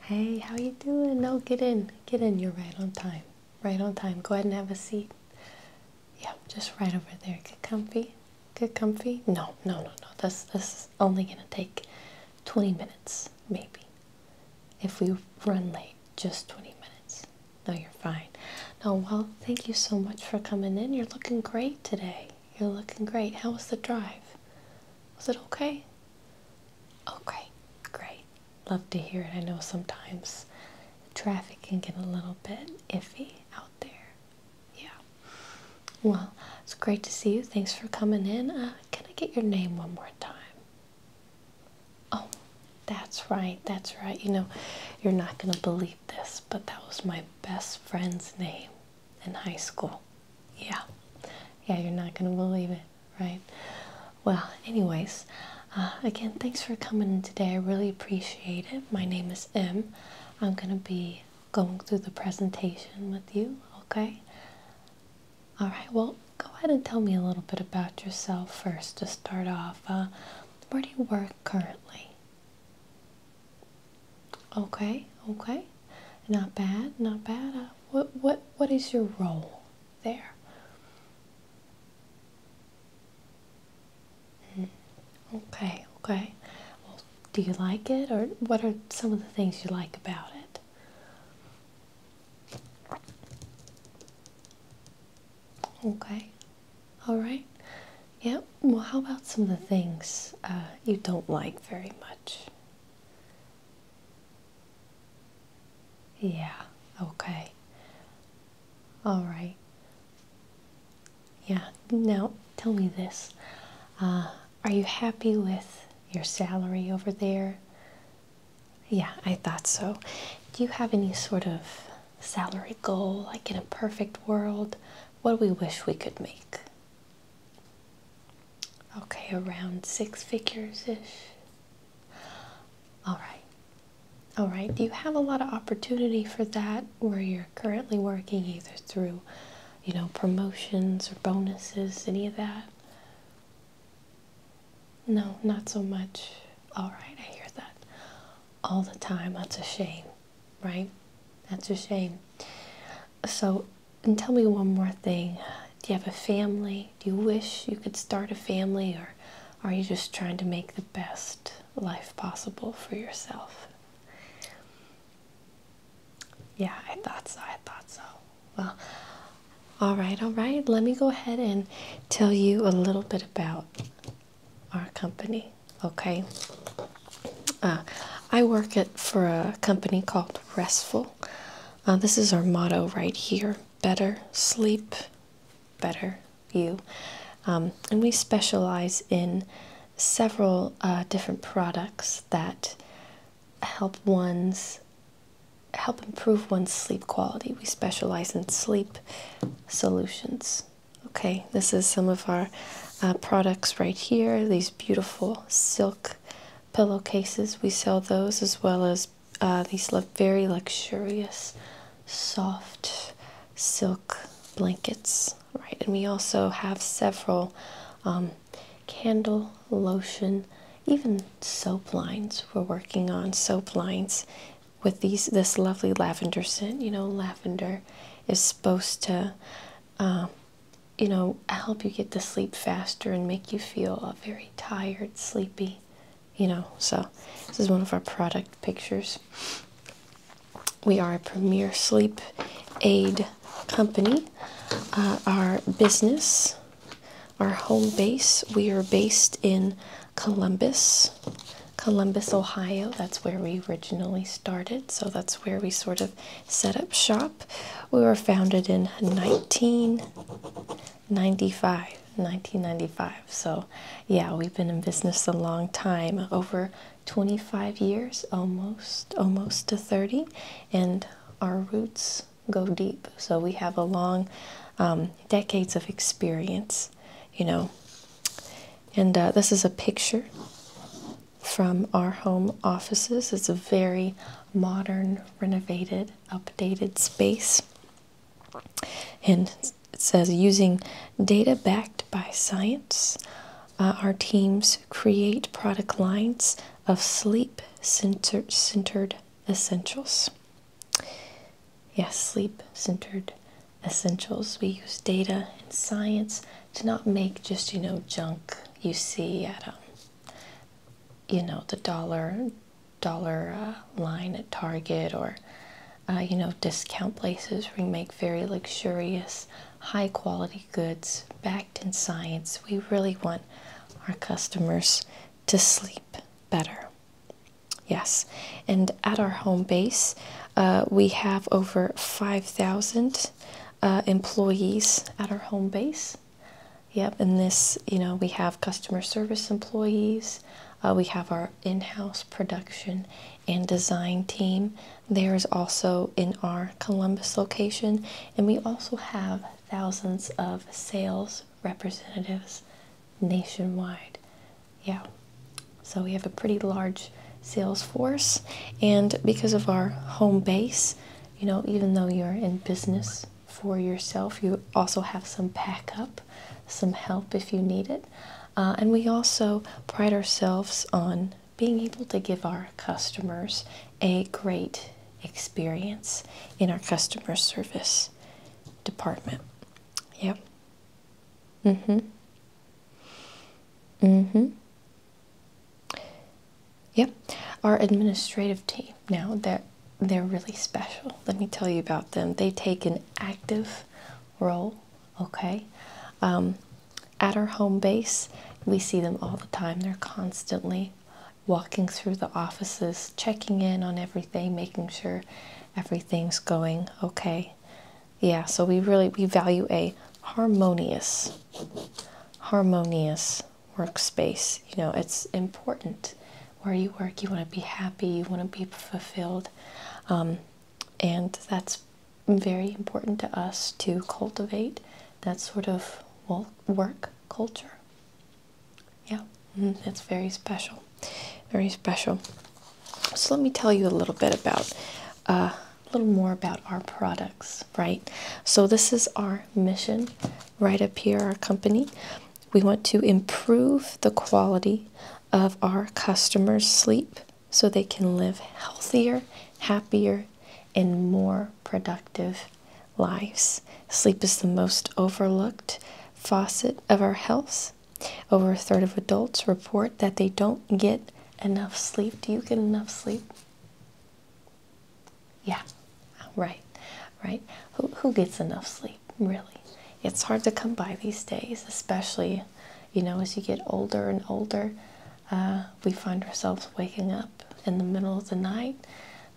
Hey, how you doing? No, get in. Get in. You're right on time. Right on time. Go ahead and have a seat. Yeah, just right over there. Get comfy. Get comfy. No, no, no, no. This this is only gonna take 20 minutes, maybe. If we run late, just 20 minutes. No, you're fine. No, well, thank you so much for coming in. You're looking great today. You're looking great. How was the drive? Was it okay? Okay, oh, great. Love to hear it. I know sometimes traffic can get a little bit iffy out there. Yeah. Well, it's great to see you. Thanks for coming in. Uh, can I get your name one more time? Oh, that's right. That's right. You know, you're not going to believe this, but that was my best friend's name in high school. Yeah. Yeah, you're not going to believe it right? Well, anyways, uh, again, thanks for coming today. I really appreciate it. My name is Em. I'm going to be going through the presentation with you, okay? All right, well, go ahead and tell me a little bit about yourself first to start off. Uh, where do you work currently? Okay, okay. Not bad, not bad. Uh, what, what, what is your role there? Hmm, okay, okay. Well, do you like it, or what are some of the things you like about it? Okay, all right. Yep. Yeah. Well, how about some of the things uh, you don't like very much? Yeah, okay. All right. Yeah, now tell me this. Uh, are you happy with your salary over there? Yeah, I thought so. Do you have any sort of salary goal, like in a perfect world? What do we wish we could make? Okay, around six figures ish. All right. All right. Do you have a lot of opportunity for that where you're currently working either through, you know, promotions or bonuses, any of that? No, not so much. All right, I hear that all the time. That's a shame, right? That's a shame. So, and tell me one more thing. Do you have a family? Do you wish you could start a family, or are you just trying to make the best life possible for yourself? Yeah, I thought so. I thought so. Well, all right, all right. Let me go ahead and tell you a little bit about our company, okay? Uh, I work at, for a company called Restful uh, this is our motto right here better sleep, better you. Um, and we specialize in several uh, different products that help one's help improve one's sleep quality. We specialize in sleep solutions. Okay, this is some of our uh, products right here. These beautiful silk pillowcases. We sell those as well as uh, these very luxurious, soft silk blankets. Right, and we also have several um, candle, lotion, even soap lines. We're working on soap lines with these this lovely lavender scent. You know, lavender is supposed to uh, you know, help you get to sleep faster and make you feel very tired, sleepy, you know. So, this is one of our product pictures. We are a premier sleep aid company. Uh, our business, our home base, we are based in Columbus, Columbus, Ohio. That's where we originally started, so that's where we sort of set up shop. We were founded in 1995. 1995. So, yeah, we've been in business a long time, over 25 years, almost, almost to 30, and our roots go deep. So we have a long, um, decades of experience, you know. And uh, this is a picture from our home offices. It's a very modern, renovated, updated space. And it says using data backed by science, uh, our teams create product lines of sleep centered essentials. Yes, sleep centered essentials. We use data and science to not make just, you know, junk you see at home. Um, you know the dollar dollar uh, line at Target or uh, you know discount places where we make very luxurious high quality goods backed in science we really want our customers to sleep better yes and at our home base uh, we have over 5000 uh, employees at our home base. Yep, and this, you know, we have customer service employees, uh, we have our in house production and design team. There is also in our Columbus location, and we also have thousands of sales representatives nationwide. Yeah, so we have a pretty large sales force, and because of our home base, you know, even though you're in business for yourself, you also have some backup, some help if you need it. Uh, and we also pride ourselves on being able to give our customers a great experience in our customer service department. Yep. Mm hmm. Mm hmm. Yep, our administrative team. Now they're, they're really special. Let me tell you about them. They take an active role, okay? Um, at our home base, we see them all the time. They're constantly walking through the offices, checking in on everything, making sure everything's going okay. Yeah, so we really we value a harmonious harmonious workspace. You know, it's important where you work. You want to be happy. You want to be fulfilled, um, and that's very important to us to cultivate that sort of work culture. Yeah, it's mm, very special, very special. So let me tell you a little bit about uh, a little more about our products, right? So, this is our mission right up here, our company. We want to improve the quality of our customers' sleep so they can live healthier, happier, and more productive lives. Sleep is the most overlooked facet of our health. Over a third of adults report that they don't get enough sleep. Do you get enough sleep? Yeah, right, right. Who, who gets enough sleep, really? It's hard to come by these days, especially, you know, as you get older and older. Uh, we find ourselves waking up in the middle of the night,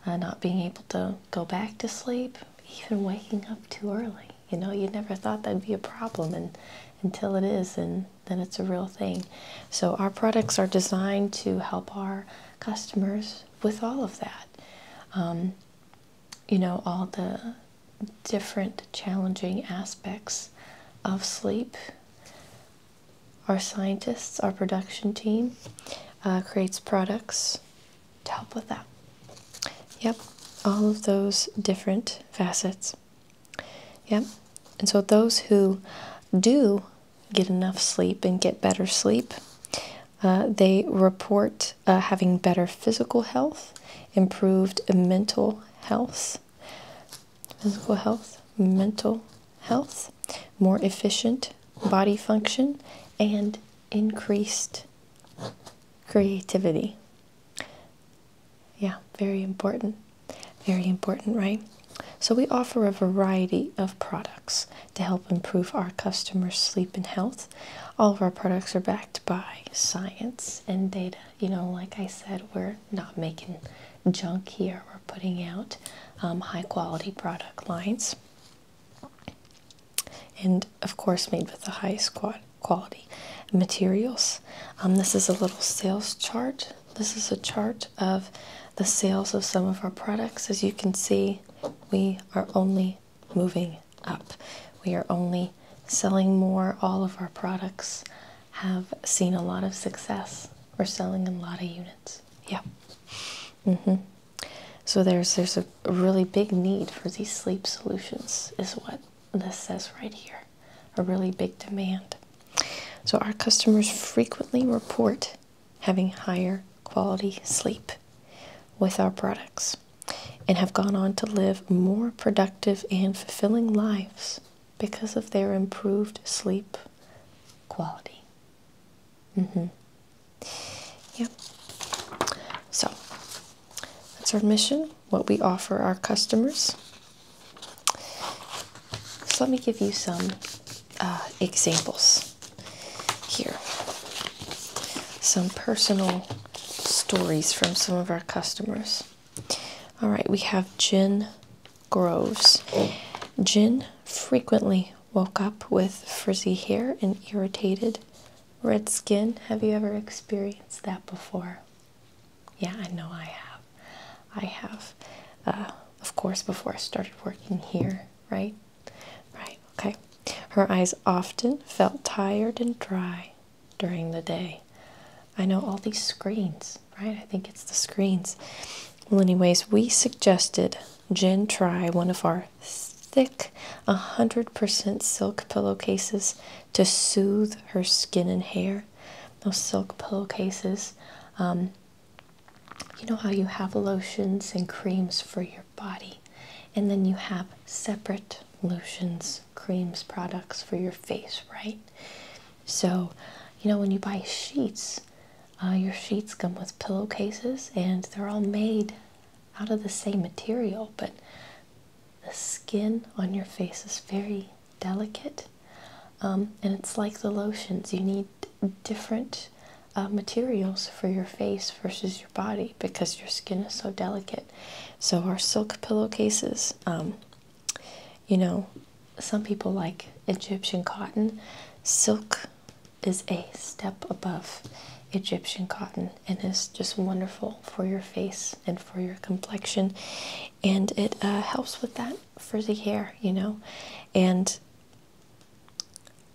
uh, not being able to go back to sleep, even waking up too early. You know, you never thought that'd be a problem, and until it is, and then it's a real thing. So our products are designed to help our customers with all of that. Um, you know, all the different challenging aspects of sleep. Our scientists, our production team, uh, creates products to help with that. Yep, all of those different facets. Yep. And so those who do get enough sleep and get better sleep, uh, they report uh, having better physical health, improved mental health, physical health, mental health, more efficient body function, and increased creativity. Yeah, very important. Very important, right? So we offer a variety of products to help improve our customers' sleep and health. All of our products are backed by science and data. You know, like I said, we're not making junk here. We're putting out um, high quality product lines. And of course, made with the highest quality materials. Um, this is a little sales chart this is a chart of the sales of some of our products. As you can see, we are only moving up. We are only selling more. All of our products have seen a lot of success. We're selling a lot of units. Yep. hmm So there's there's a really big need for these sleep solutions is what this says right here a really big demand. So our customers frequently report having higher quality sleep with our products and have gone on to live more productive and fulfilling lives because of their improved sleep quality. Mm-hmm. Yep. So that's our mission, what we offer our customers. So let me give you some uh, examples here. Some personal stories from some of our customers. All right, we have Jen Groves. Jen frequently woke up with frizzy hair and irritated red skin. Have you ever experienced that before? Yeah, I know I have. I have, uh, of course, before I started working here, right? Right, okay. Her eyes often felt tired and dry during the day. I know all these screens, right? I think it's the screens. Well, anyways, we suggested Jen try one of our thick 100% silk pillowcases to soothe her skin and hair those silk pillowcases. Um, you know how you have lotions and creams for your body, and then you have separate lotions, creams, products for your face, right? So, you know, when you buy sheets, uh, your sheets come with pillowcases and they're all made out of the same material, but the skin on your face is very delicate, um, and it's like the lotions. You need different uh, materials for your face versus your body because your skin is so delicate. So our silk pillowcases, um, you know, some people like Egyptian cotton. Silk is a step above Egyptian cotton and is just wonderful for your face and for your complexion, and it uh, helps with that for the year, you know, and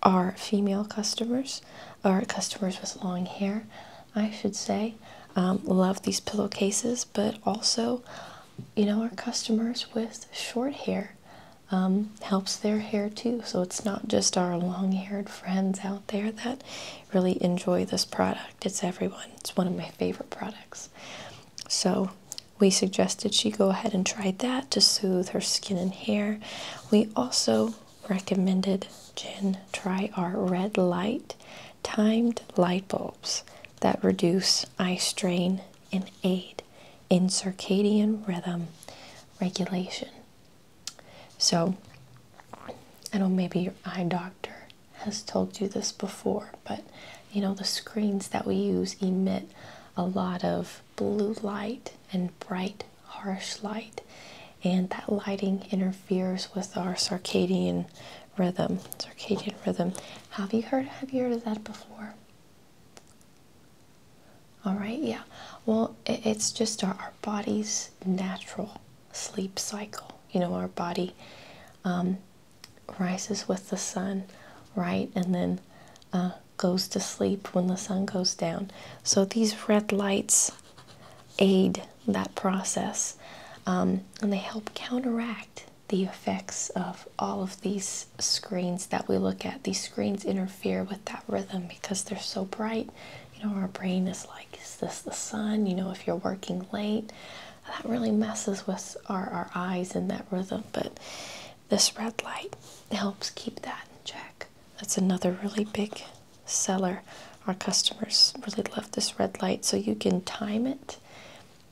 our female customers, our customers with long hair, I should say, um, love these pillowcases, but also, you know, our customers with short hair um, helps their hair too. So it's not just our long haired friends out there that really enjoy this product, it's everyone. It's one of my favorite products. So we suggested she go ahead and try that to soothe her skin and hair. We also recommended Jen try our red light timed light bulbs that reduce eye strain and aid in circadian rhythm regulation. So, I do know maybe your eye doctor has told you this before, but you know, the screens that we use emit a lot of blue light and bright, harsh light, and that lighting interferes with our circadian rhythm. Circadian rhythm. Have you heard have you heard of that before? All right, yeah. Well, it's just our, our body's natural sleep cycle. You know, our body um, rises with the sun, right, and then uh, goes to sleep when the sun goes down. So these red lights aid that process um, and they help counteract the effects of all of these screens that we look at. These screens interfere with that rhythm because they're so bright. You know, our brain is like, is this the sun? You know, if you're working late, that really messes with our, our eyes in that rhythm. But this red light helps keep that in check. That's another really big seller. Our customers really love this red light. So you can time it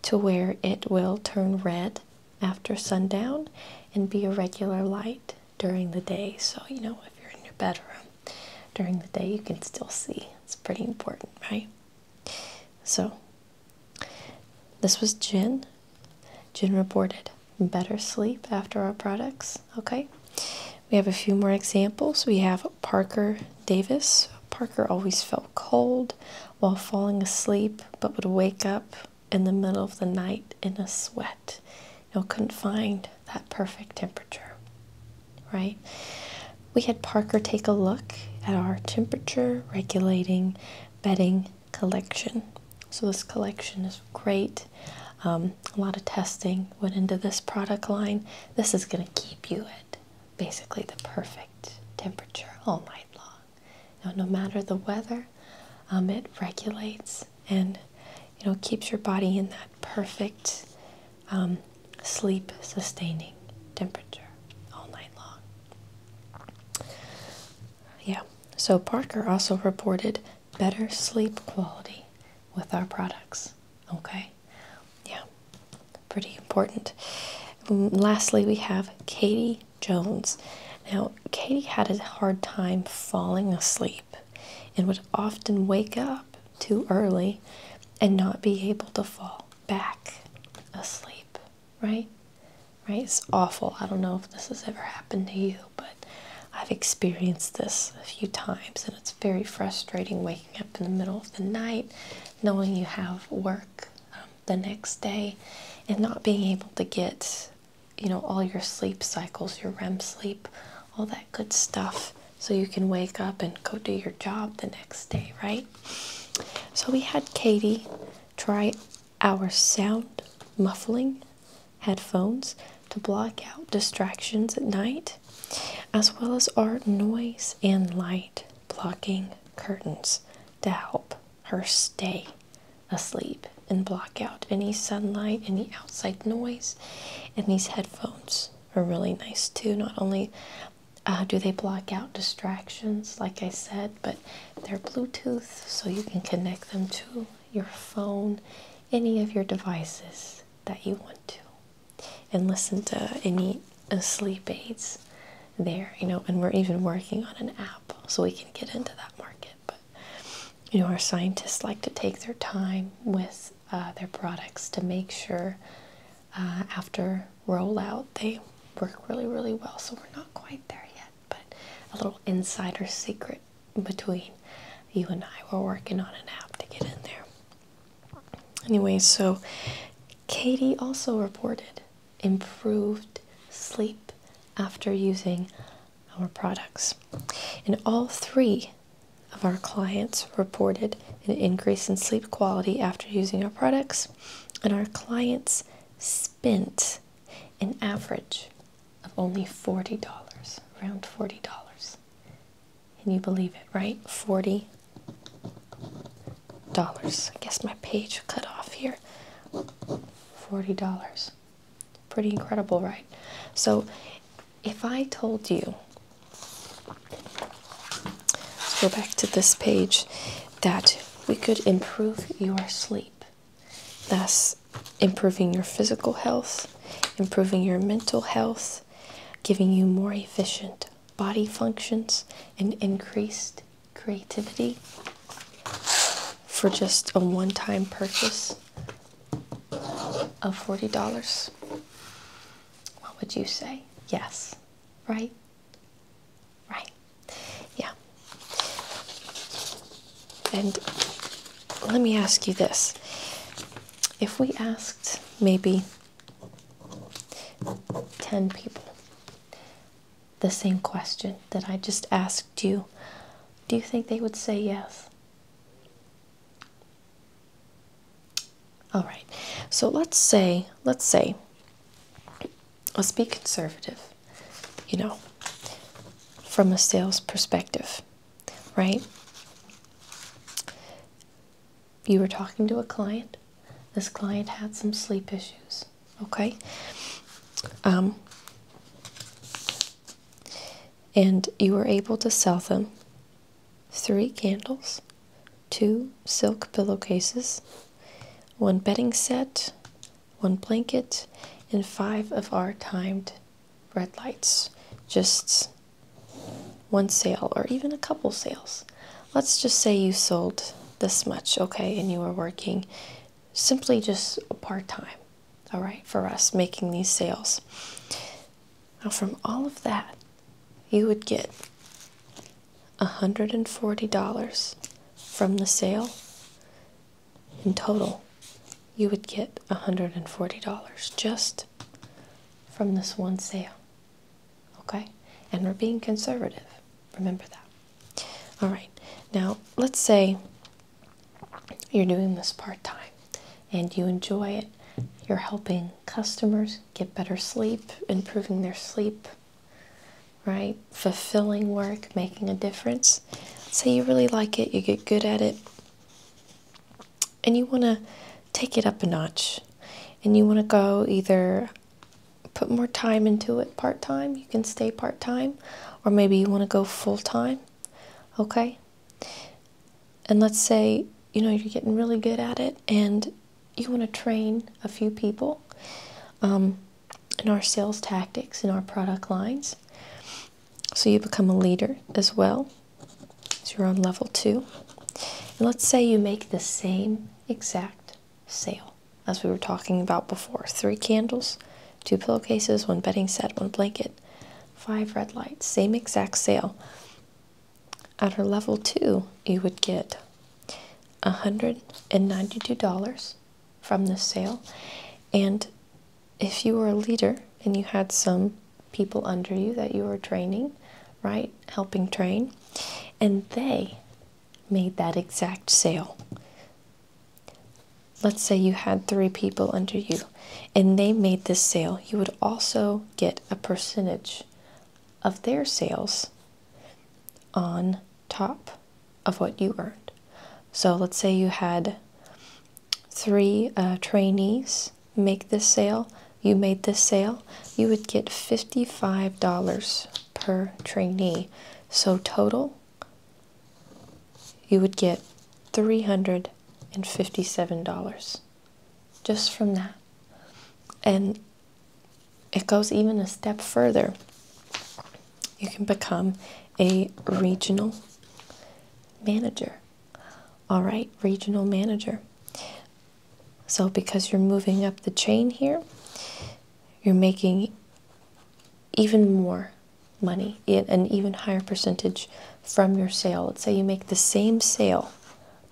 to where it will turn red after sundown and be a regular light during the day. So, you know, if you're in your bedroom during the day, you can still see. It's pretty important, right? So, this was Jin. Jin reported better sleep after our products. Okay, we have a few more examples. We have Parker Davis. Parker always felt cold while falling asleep, but would wake up in the middle of the night in a sweat. You couldn't find that perfect temperature, right? We had Parker take a look at our temperature regulating bedding collection. So, this collection is great. Um, a lot of testing went into this product line. This is going to keep you at basically the perfect temperature all night long. Now, no matter the weather, um, it regulates and you know keeps your body in that perfect um, sleep sustaining temperature all night long. Yeah, so Parker also reported better sleep quality with our products. Okay, yeah, pretty important. Mm, lastly, we have Katie Jones. Now, Katie had a hard time falling asleep and would often wake up too early and not be able to fall back asleep, right? Right? It's awful. I don't know if this has ever happened to you, but I've experienced this a few times and it's very frustrating waking up in the middle of the night knowing you have work um, the next day and not being able to get you know all your sleep cycles your REM sleep all that good stuff so you can wake up and go do your job the next day right so we had Katie try our sound muffling headphones to block out distractions at night, as well as our noise and light blocking curtains to help her stay asleep and block out any sunlight, any outside noise. And these headphones are really nice too, not only uh, do they block out distractions? Like I said, but they're Bluetooth, so you can connect them to your phone, any of your devices that you want to, and listen to any sleep aids there, you know. And we're even working on an app so we can get into that market. But you know, our scientists like to take their time with uh, their products to make sure uh, after rollout. They work really, really well, so we're not quite there yet, but a little insider secret between you and I. We're working on an app to get in there. Anyway, so Katie also reported improved sleep after using our products, and all three of our clients reported an increase in sleep quality after using our products, and our clients spent an average of only $40, around $40. Can you believe it, right? $40. I guess my page cut off here. $40. Pretty incredible, right? So if I told you Let's go back to this page that we could improve your sleep, thus improving your physical health, improving your mental health, giving you more efficient body functions, and increased creativity for just a one time purchase of $40? What would you say? Yes right? Right. Yeah. And let me ask you this. If we asked maybe 10 people the same question that I just asked you, do you think they would say yes? All right. So let's say, let's say, let's be conservative, you know, from a sales perspective, right? You were talking to a client. This client had some sleep issues, okay? Um, and you were able to sell them three candles two silk pillowcases, one bedding set, one blanket, and five of our timed red lights. Just one sale or even a couple sales. Let's just say you sold this much, okay, and you are working simply just a part time, all right, for us making these sales. Now, from all of that, you would get $140 from the sale. In total, you would get $140 just from this one sale. Okay? And we're being conservative. Remember that. All right. Now, let's say you're doing this part time and you enjoy it you're helping customers get better sleep, improving their sleep, right? Fulfilling work, making a difference. Say you really like it, you get good at it, and you want to take it up a notch, and you want to go either put more time into it part time, you can stay part time, or maybe you want to go full time, okay? and let's say you know you're getting really good at it and you want to train a few people um, in our sales tactics in our product lines so you become a leader as well so you're on level two and let's say you make the same exact sale as we were talking about before three candles two pillowcases one bedding set one blanket five red lights same exact sale at a level two, you would get $192 from this sale. And if you were a leader and you had some people under you that you were training, right, helping train, and they made that exact sale. Let's say you had three people under you and they made this sale, you would also get a percentage of their sales on top of what you earned. So let's say you had three uh, trainees make this sale, you made this sale, you would get $55 per trainee. So total, you would get $357 just from that. And it goes even a step further. You can become a regional manager. All right, regional manager. So, because you're moving up the chain here, you're making even more money, an even higher percentage from your sale. Let's say you make the same sale,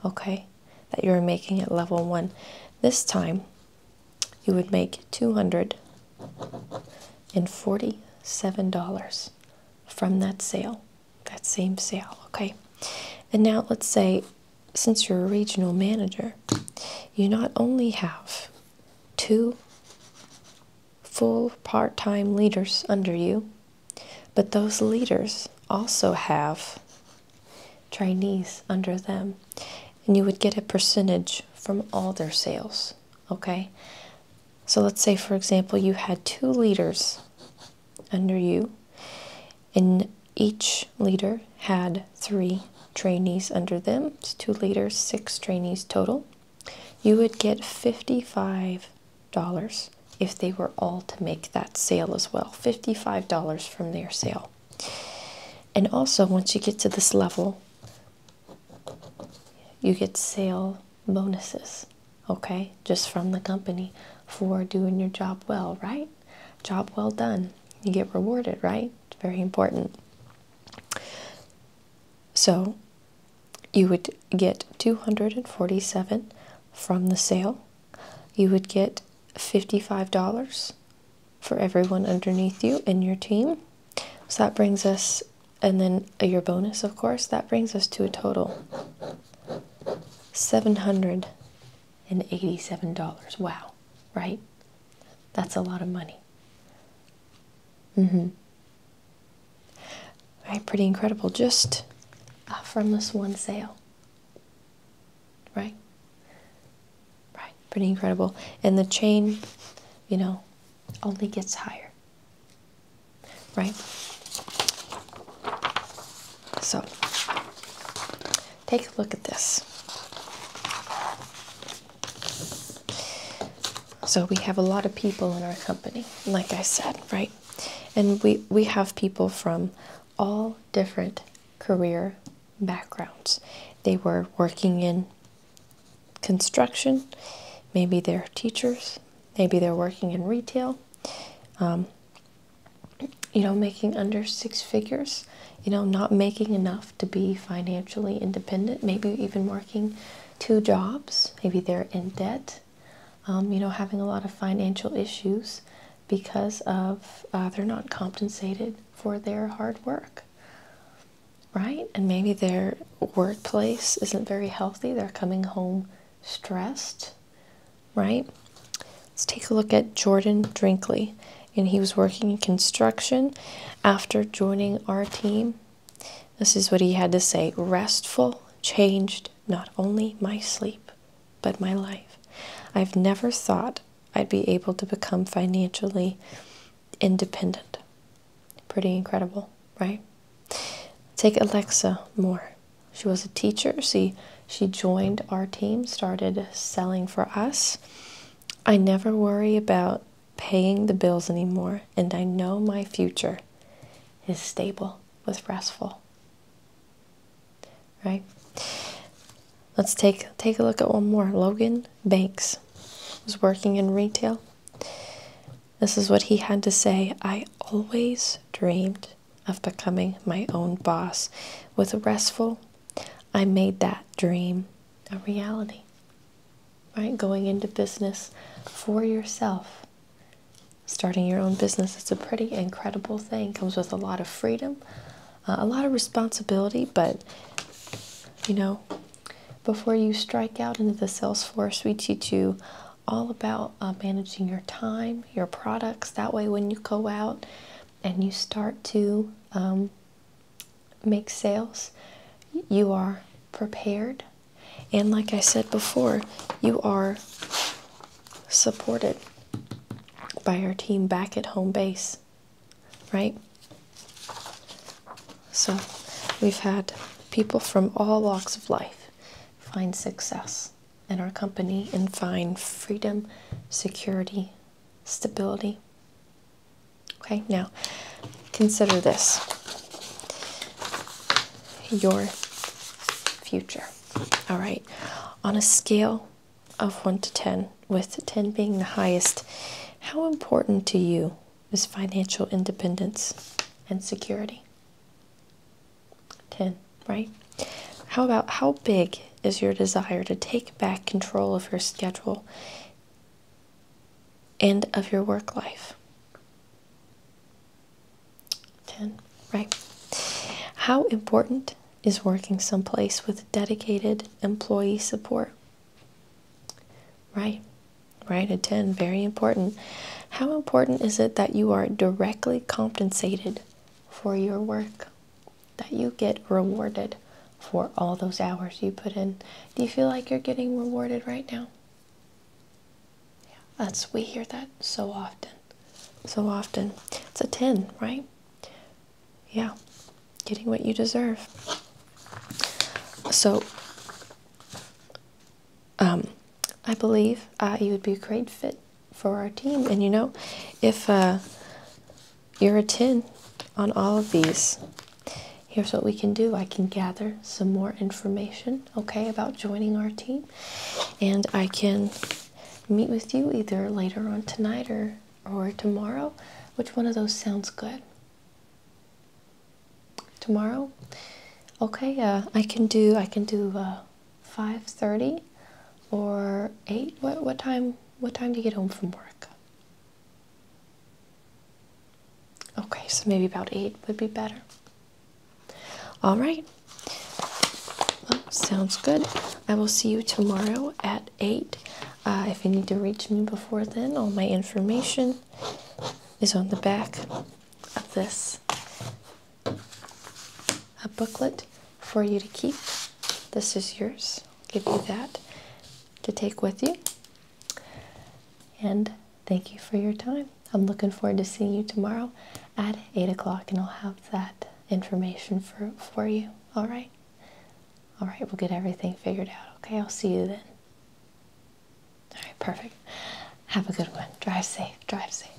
okay? that you're making at level one. This time you would make $247 from that sale, that same sale, okay? And now let's say, since you're a regional manager, you not only have two full part time leaders under you, but those leaders also have trainees under them, and you would get a percentage from all their sales. Okay, so let's say, for example, you had two leaders under you, and each leader had three trainees under them, two leaders, six trainees total. You would get 55 dollars if they were all to make that sale as well. $55 from their sale. And also, once you get to this level, you get sale bonuses, okay, just from the company for doing your job well, right? Job well done. You get rewarded, right? It's very important. So you would get 247 from the sale you would get $55 for everyone underneath you and your team. So that brings us, and then your bonus, of course, that brings us to a total $787. Wow, right? That's a lot of money. Mm-hmm. All right, pretty incredible just uh, from this one sale. Right? Right. Pretty incredible. And the chain, you know, only gets higher. Right? So, take a look at this. So we have a lot of people in our company, like I said, right? And we, we have people from all different career backgrounds. They were working in construction, maybe they're teachers, maybe they're working in retail, um, you know, making under six figures, you know, not making enough to be financially independent, maybe even working two jobs, maybe they're in debt, um, you know, having a lot of financial issues because of uh, they're not compensated for their hard work, right? And maybe their workplace isn't very healthy. They're coming home stressed, right? Let's take a look at Jordan Drinkley. And he was working in construction after joining our team. This is what he had to say restful, changed, not only my sleep, but my life. I've never thought I'd be able to become financially independent. Pretty incredible, right? Take Alexa Moore. She was a teacher. See, she joined our team, started selling for us. I never worry about paying the bills anymore, and I know my future is stable with restful right let's take take a look at one more logan banks was working in retail this is what he had to say i always dreamed of becoming my own boss with restful i made that dream a reality right going into business for yourself Starting your own business is a pretty incredible thing. It comes with a lot of freedom, uh, a lot of responsibility, but you know, before you strike out into the sales force, we teach you all about uh, managing your time, your products. That way, when you go out and you start to um, make sales, you are prepared. And like I said before, you are supported by our team back at home base, right? So we've had people from all walks of life find success in our company and find freedom, security, stability. Okay, now consider this your future. All right, on a scale of 1 to 10, with 10 being the highest, how important to you is financial independence and security? 10, right? How about how big is your desire to take back control of your schedule and of your work life? 10. Right. How important is working someplace with dedicated employee support? Right. Right. A 10. Very important. How important is it that you are directly compensated for your work? That you get rewarded for all those hours you put in? Do you feel like you're getting rewarded right now? that's we hear that so often. So often. It's a 10, right? Yeah. Getting what you deserve. So um I believe uh, you would be a great fit for our team. And you know, if uh, you're a 10 on all of these, here's what we can do. I can gather some more information okay, about joining our team, and I can meet with you either later on tonight or or tomorrow. Which one of those sounds good? Tomorrow, okay. Uh, I can do I can do uh, five thirty or eight. What what time? What time do you get home from work? Okay, so maybe about eight would be better. All right. sounds good. I will see you tomorrow at 8. Uh, if you need to reach me before then, all my information is on the back of this a booklet for you to keep. This is yours. I'll give you that to take with you. And Thank you for your time. I'm looking forward to seeing you tomorrow at 8 o'clock, and I'll have that information for, for you. All right? All right, we'll get everything figured out. Okay, I'll see you then. All right, perfect. Have a good one. Drive safe. Drive safe.